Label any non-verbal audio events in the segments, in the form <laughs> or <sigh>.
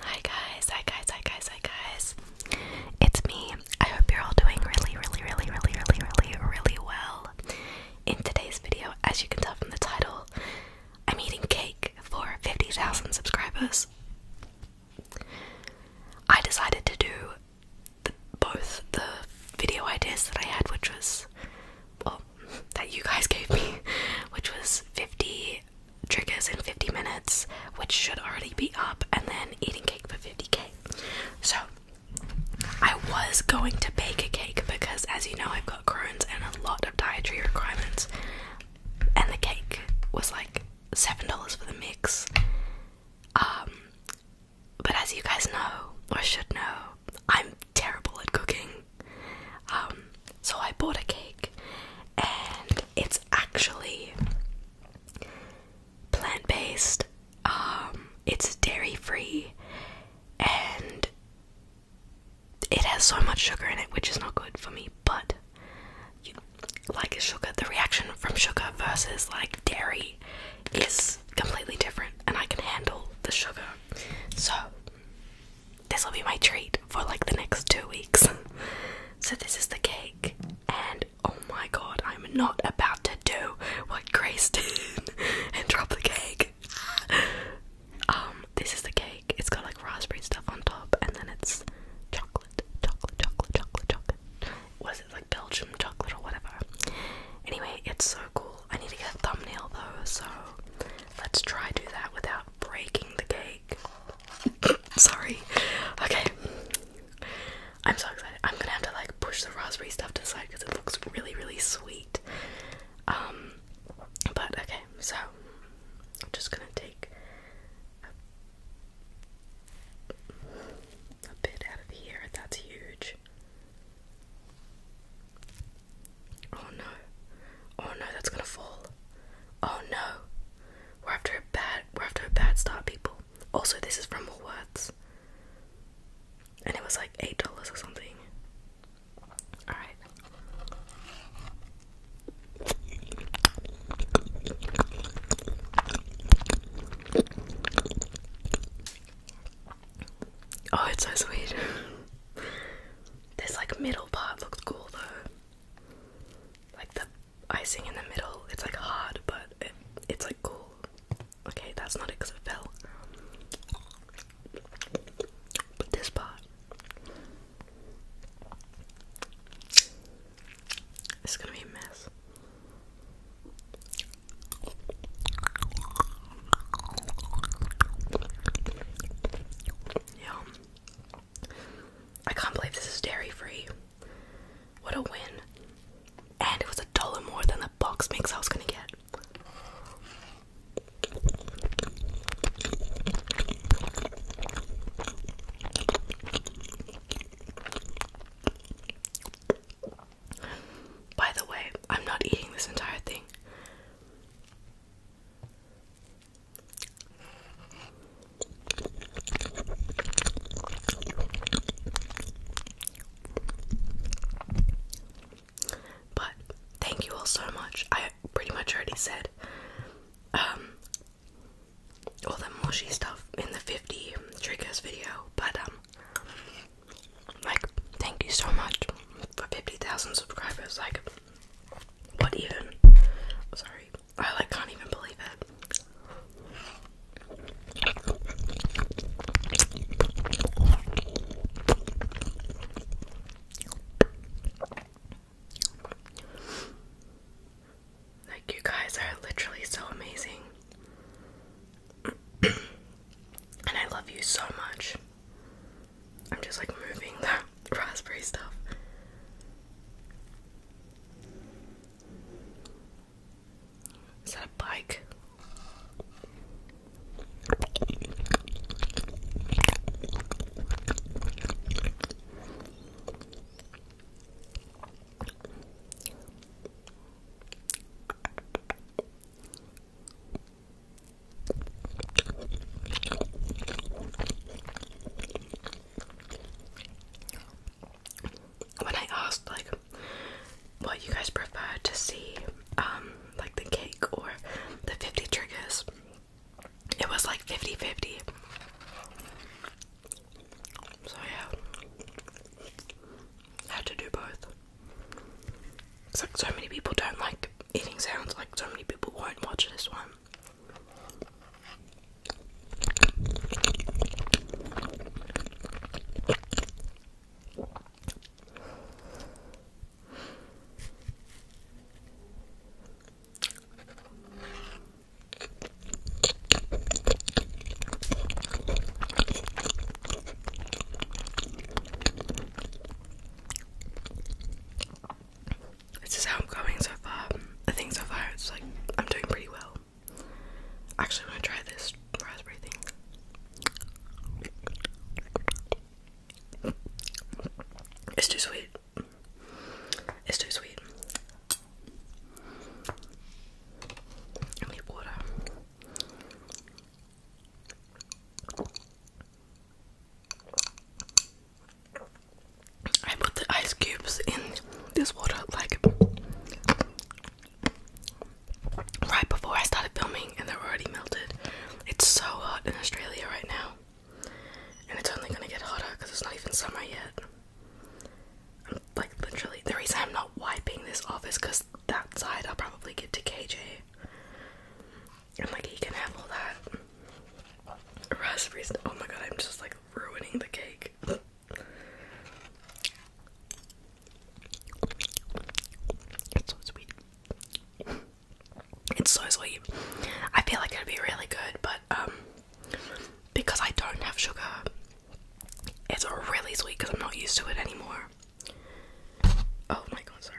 Hi guys, hi guys, hi guys, hi guys. It's me. I hope you're all doing really, really, really, really, really, really, really well. In today's video, as you can tell from the title, I'm eating cake for 50,000 subscribers. I decided to do both the video ideas that I had, which was well, that you guys gave me, <laughs> which was 50 triggers in 50 minutes, which should already be up, and then eating cake for 50k. So, I was going to bake a cake because, as you know, I've got Crohn's and a lot of dietary requirements, and the cake was like $7 for the mix. Um, but as you guys know, or should know, I'm terrible at cooking. Um, so I bought a cake, and it's actually plant based, um, it's dairy free, and it has so much sugar in it, which is not good for me, but you, like sugar, the reaction from sugar versus like dairy is completely different and I can handle the sugar. So, this will be my treat for like the next two weeks. <laughs> so, this is the cake, and oh my god, I'm not about to do what Grace <laughs> did and drop the cake. <laughs> um, this is the cake, it's got like raspberry stuff on top, and then it's chocolate, chocolate, chocolate, chocolate, chocolate. What is it, like Belgium chocolate or whatever? Anyway, it's so cool. I need to get a thumbnail though, so let's try do that without breaking the cake. <laughs> Sorry. Okay. I'm so excited. I'm gonna have to like push the raspberry stuff to the side because it looks really, really sweet. Um, but okay, so I'm just gonna take a bit out of here. That's huge. Oh no. Oh no, that's gonna fall. Oh no. We're after a bad we're after a bad start, people. Also this is from Woolworths. And it was like eight dollars or something. Alright. Oh, it's so sweet. <laughs> this like middle part looks cool though. Like the icing in the middle, it's like hard, but it's like cool. Okay, that's not it because it fell. But this part is gonna be a mess. Yum. I can't believe this is dairy free. What a win. And it was a dollar more than the box mix I was gonna get. By the way, I'm not eating this entire thing. But thank you all so much. I pretty much already said um all the mushy stuff in the 50 triggers video, but um like, thank you so much for 50,000 subscribers. Like, what even? Sorry, I like can't even believe it. Like, you guys are literally so amazing. <coughs> and I love you so much. I'm just like moving the <laughs> raspberry stuff. Is that a bike? When I asked like what you guys prefer to see, um, like the cake or the 50 triggers, it was like 50-50. So yeah. Had to do both. It's like so many people don't like eating sounds, like so many people won't watch this one. This is how I'm going so far. I think so far it's like I'm doing pretty well. Actually, i to try this raspberry thing. It's too sweet. It's too sweet. I need water. I put the ice cubes in this water like right before I started filming, and they're already melted. It's so hot in Australia right now, and it's only gonna get hotter because it's not even summer yet. like literally, the reason I'm not wiping this off because that side I'll probably get to KJ. And like he can have all that raspberries. Oh my god, I'm just like ruining the cake. It's so sweet. It's so sweet. I feel like it'd be really good, but um because I don't have sugar it's really sweet because I'm not used to it anymore. Oh my god, sorry.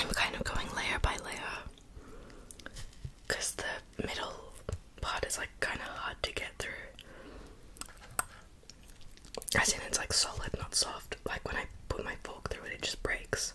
I'm kind of going layer by layer because the middle part is like kind of hard to get through. As in, it's like solid, not soft. Like when I put my fork through it, it just breaks.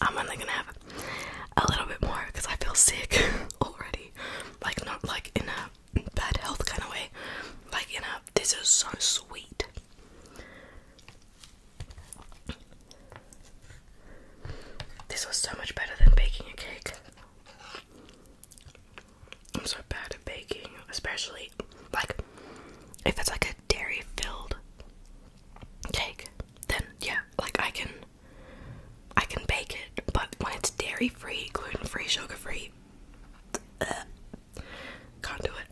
I'm only gonna have a little bit more because I feel sick <laughs> already. Like, not like in a bad health kind of way, like in a this is so sweet. This was so much better than baking a cake. I'm so bad at baking, especially like if it's like a dairy filled cake, then yeah, like I can I can bake it, but when it's dairy free, gluten free, sugar free, can't do it.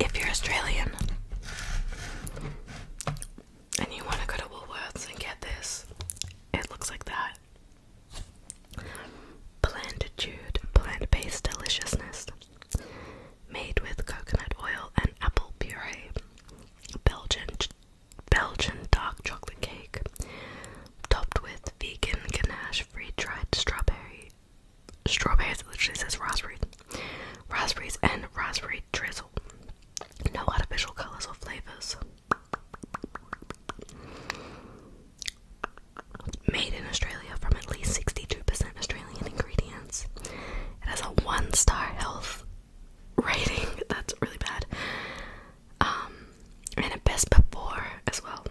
If you're Australian and you want to go to Woolworths and get this, it looks like that. Plantitude, plant based deliciousness made with coconut oil and apple puree. Belgian Belgian dark chocolate cake, topped with vegan ganache, free-dried strawberry. Strawberries it literally says raspberry, raspberries and raspberry drizzle. No artificial colors or flavors. Made in Australia from at least 62% Australian ingredients. It has a one star health rating. <laughs> That's really bad. Um, and a best before as well.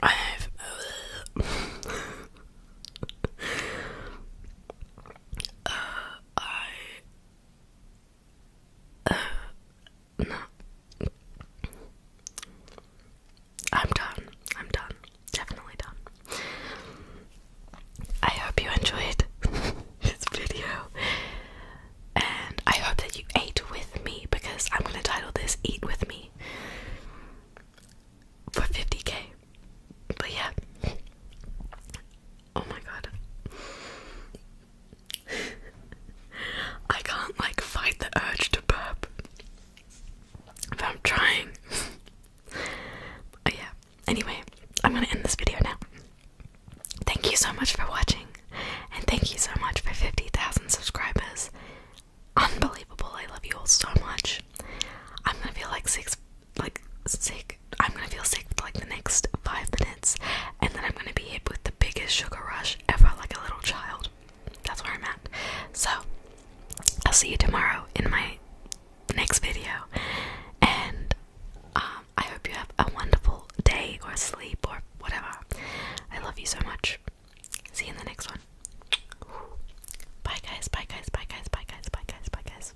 I have uh, <laughs> uh, I no. <sighs> I'm done. I'm done. Definitely done. I hope you enjoyed <laughs> this video. And I hope that you ate with me because I'm going to title this Eat With Me for 50k. But yeah. Oh my god. <laughs> I can't like fight the urge to burp. But I'm trying. <laughs> yeah. Anyway, I'm gonna end this video now. Thank you so much for watching, and thank you so much for 50,000 subscribers. Unbelievable, I love you all so much. I'm gonna feel like six like sick. I'm gonna feel sick for like the next five minutes, and then I'm gonna be hit with the biggest sugar rush ever, like a little child. That's where I'm at. So, I'll see you tomorrow in my next video, and um, I hope you have a wonderful day or sleep or whatever. I love you so much. See you in the next one. Bye guys, bye guys, bye guys, bye guys, bye guys, bye guys.